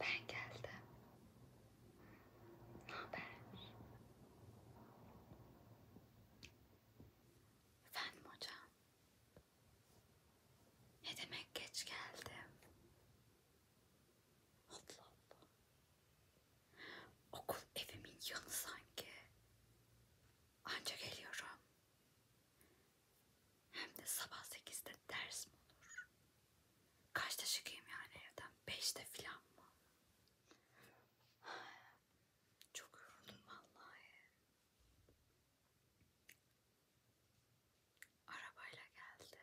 Ben geldim. Naber? Efendim hocam. Ne demek geç geldim? Allah Allah. Okul evimin yanı sanki. Anca geliyorum. Hem de sabah sekizde ders mi olur? Kaçta çıkayım yani evden? Beşte filan mı? Çok yoruldum vallahi. Arabayla geldi.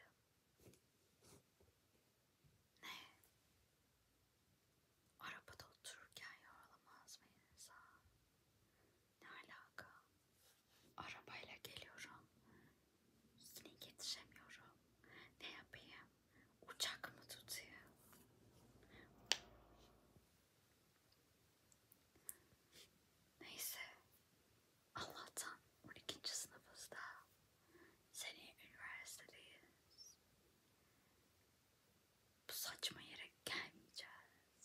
Ne? Arabada otururken yorulamaz mı insan? Ne alaka? Arabayla geliyorum. Yine yetişemiyorum. Ne yapayım? Uçak mı tutayım? Neyse Allah'tan 12. sınıfızda seni üniversitedeyiz. Bu saçma yere gelmeyeceğiz.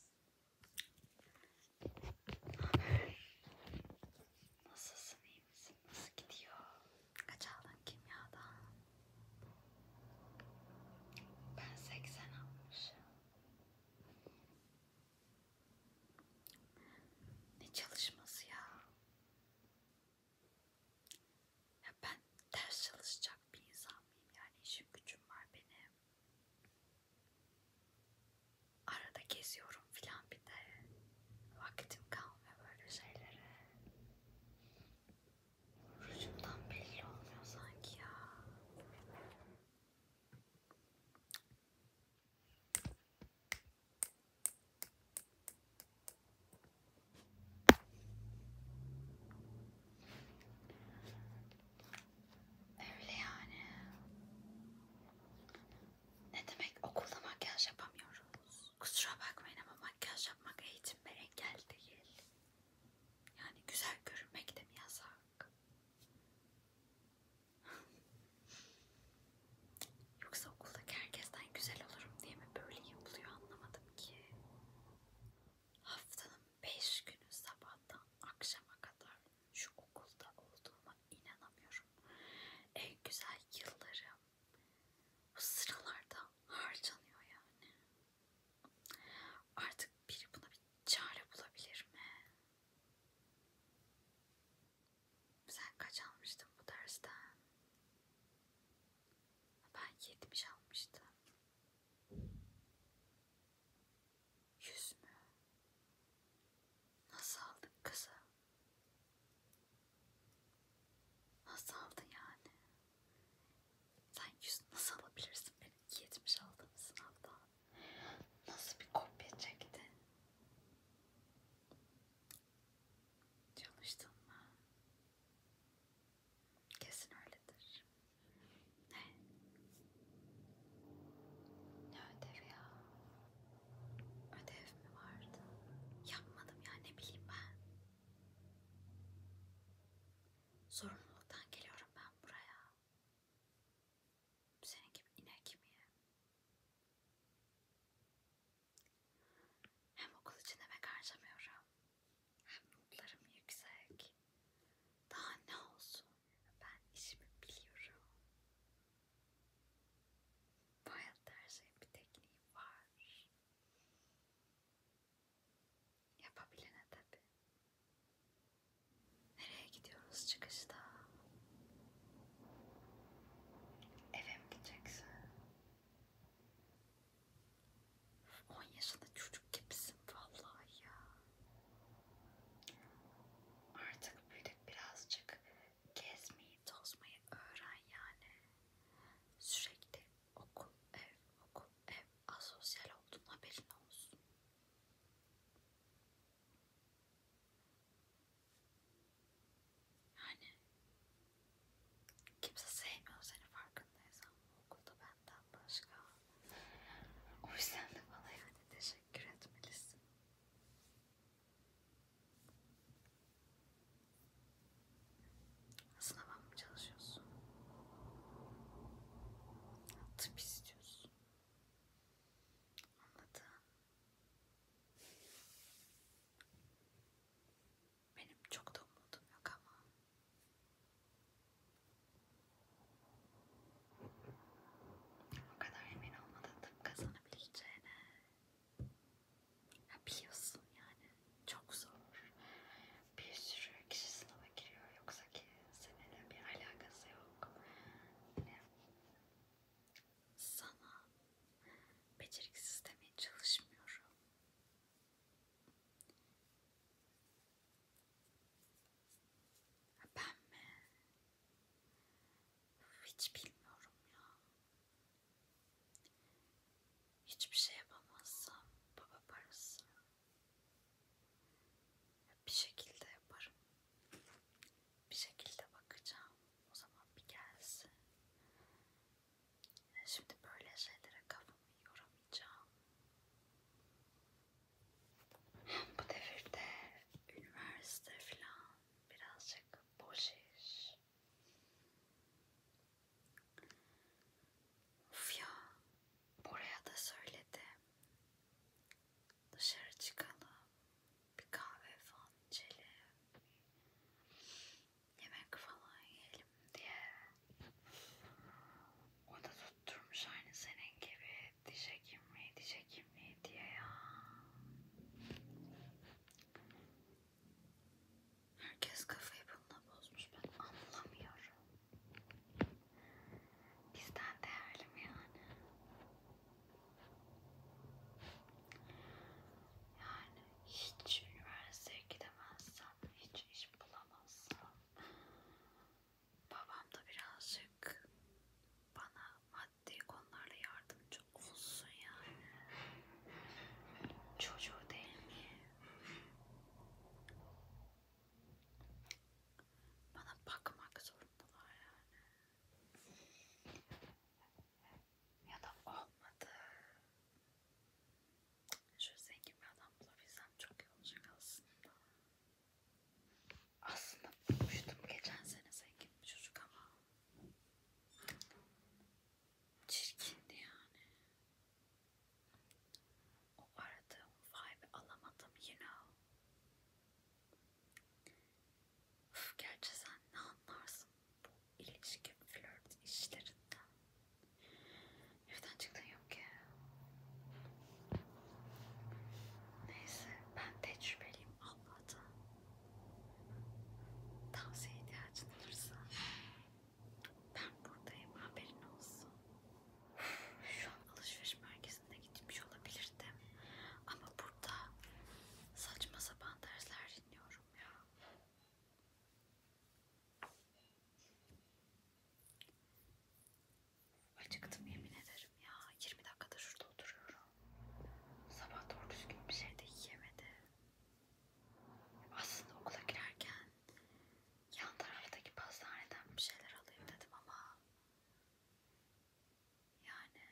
Nasılsın iyi misin? Nasıl gidiyor? Kaç aldın kimyadan? Ben 80 almışım. Ne çalışması ya? Ya ben ders çalışacak bir insan mıyım? Yani işim gücüm var benim. Arada geziyorum filan bir de. Vaktim kalmıyor böyle şeylere. Rujumdan belli olmuyor sanki ya. Öyle yani. Ne demek okulda makyaj yapamıyoruz? Kusura bakmayın ama makyaj yapmak eğitimle engel değil. Yani güzel görünmek de mi yasak? Yoksa okuldaki herkesten güzel olurum diye mi böyle yapılıyor anlamadım ki. Haftanın beş günü sabahtan akşama kadar şu okulda olduğuma inanamıyorum. En güzel yıllarım bu sıralarda harcanıyor yani. Artık biri buna bir çare bulabilir mi? Sen kaç almıştın bu dersten? Ben 70 almıştım. 100 mü? Nasıl aldın kızı? Nasıl aldın yani? Sen yüz nasıl alabilirsin benim 70 aldığım sınavdan? Nasıl bir kopya çektin? Çalıştın mı? Kesin öyledir. Ne? Ne ödev ya? Ödev mi vardı? Yapmadım ya ne bileyim ben. Sorumluluktan geliyorum ben buraya. Senin gibi inek miyim? Hem okul için emek harcamıyorum. Hem notlarım yüksek. Daha ne olsun? Ben işimi biliyorum. Bu hayatta her şeyin bir tekniği var. Yapabilene tabi. Nereye gidiyoruz çıkışta? Eve mi gideceksin? 10 yaşında çocuk gibisin vallahi ya. Artık büyüdük birazcık gezmeyi, tozmayı öğren yani. Sürekli Okul, ev, okul, ev. Asosyal olduğun haberin olsun. Yani kimse sevmiyor seni farkındaysan okulda benden başka. O yüzden de bana yani teşekkür etmelisin. Sınava mı çalışıyorsun? Tıp istiyorsun. Anladım. Benim çok da umudum yok ama. O kadar emin olmadan tıp kazanabileceğine. Ya biliyorsun yani çok zor. Bir sürü kişi sınava giriyor yoksa ki seninle bir alakası yok. Yani sana beceriksiz demeye çalışmıyorum. Ben mi? Hiç bilmiyorum ya. Hiçbir şey yapamazsam baba parası bir şekilde yaparım. Bir şekilde bakacağım. O zaman bir gelsin. Şimdi böyle şeylere kafamı yoramayacağım. Bu devirde üniversite falan birazcık boş iş. Of ya, oraya da söyledi. Dışarı çıkalım, bir kahve falan içelim, yemek falan yiyelim diye. O da tutturmuş aynı senin gibi diş hekimliği, diş hekimliği diye ya. Herkes kafayı bununla bozmuş ben anlamıyorum. Bizden değerli mi yani? Yani hiç üniversiteye gidemezsem, hiç iş bulamazsam babam da birazcık bana maddi konularla yardımcı olsun yani. Çocuğu değil mi? Bana bakmak zorundalar yani. Ya da olmadı. Şöyle zengin bir adam bulabilsem çok iyi olacak aslında. Aslında bulmuştum geçen sene zengin bir çocuk ama çirkindi yani. O aradığım vibe'ı alamadım you know. Uf, gerçi sen ne anlarsın bu ilişki flört işlerinden. Evden çıktın yok ki. Neyse ben tecrübeliyim Allah'tan. Tavsiye ihtiyacın olursa ben buradayım haberin olsun. Şu an alışveriş merkezine gitmiş olabilirdim. Ama burada saçma sapan dersler dinliyorum ya. Acıktım yemin ederim ya. 20 dakikada şurada oturuyorum. Sabah doğru düzgün bir şey de yiyemedim. Aslında okula girerken yan taraftaki pastaneden bir şeyler alayım dedim ama yani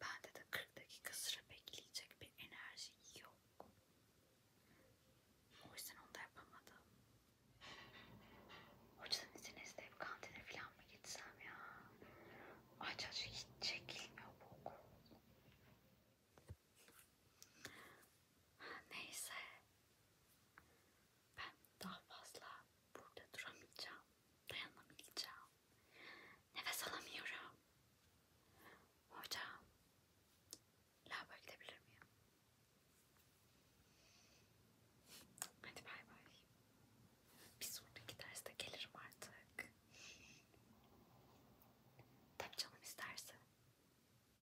bende de 40 dakika sıra bekleyecek bir enerji yok. O yüzden onu da yapamadım. Hocadan izin isteyip kantine falan mı gitsem ya? Aç aç hiç çekilmiyor bu okul. Neyse. Ben daha fazla burada duramayacağım. Dayanamayacağım. Nefes alamıyorum. Hocam. Lava gidebilir miyim? Hadi bay bay. Bir sonraki derste gelirim artık. Tabii canım isterse.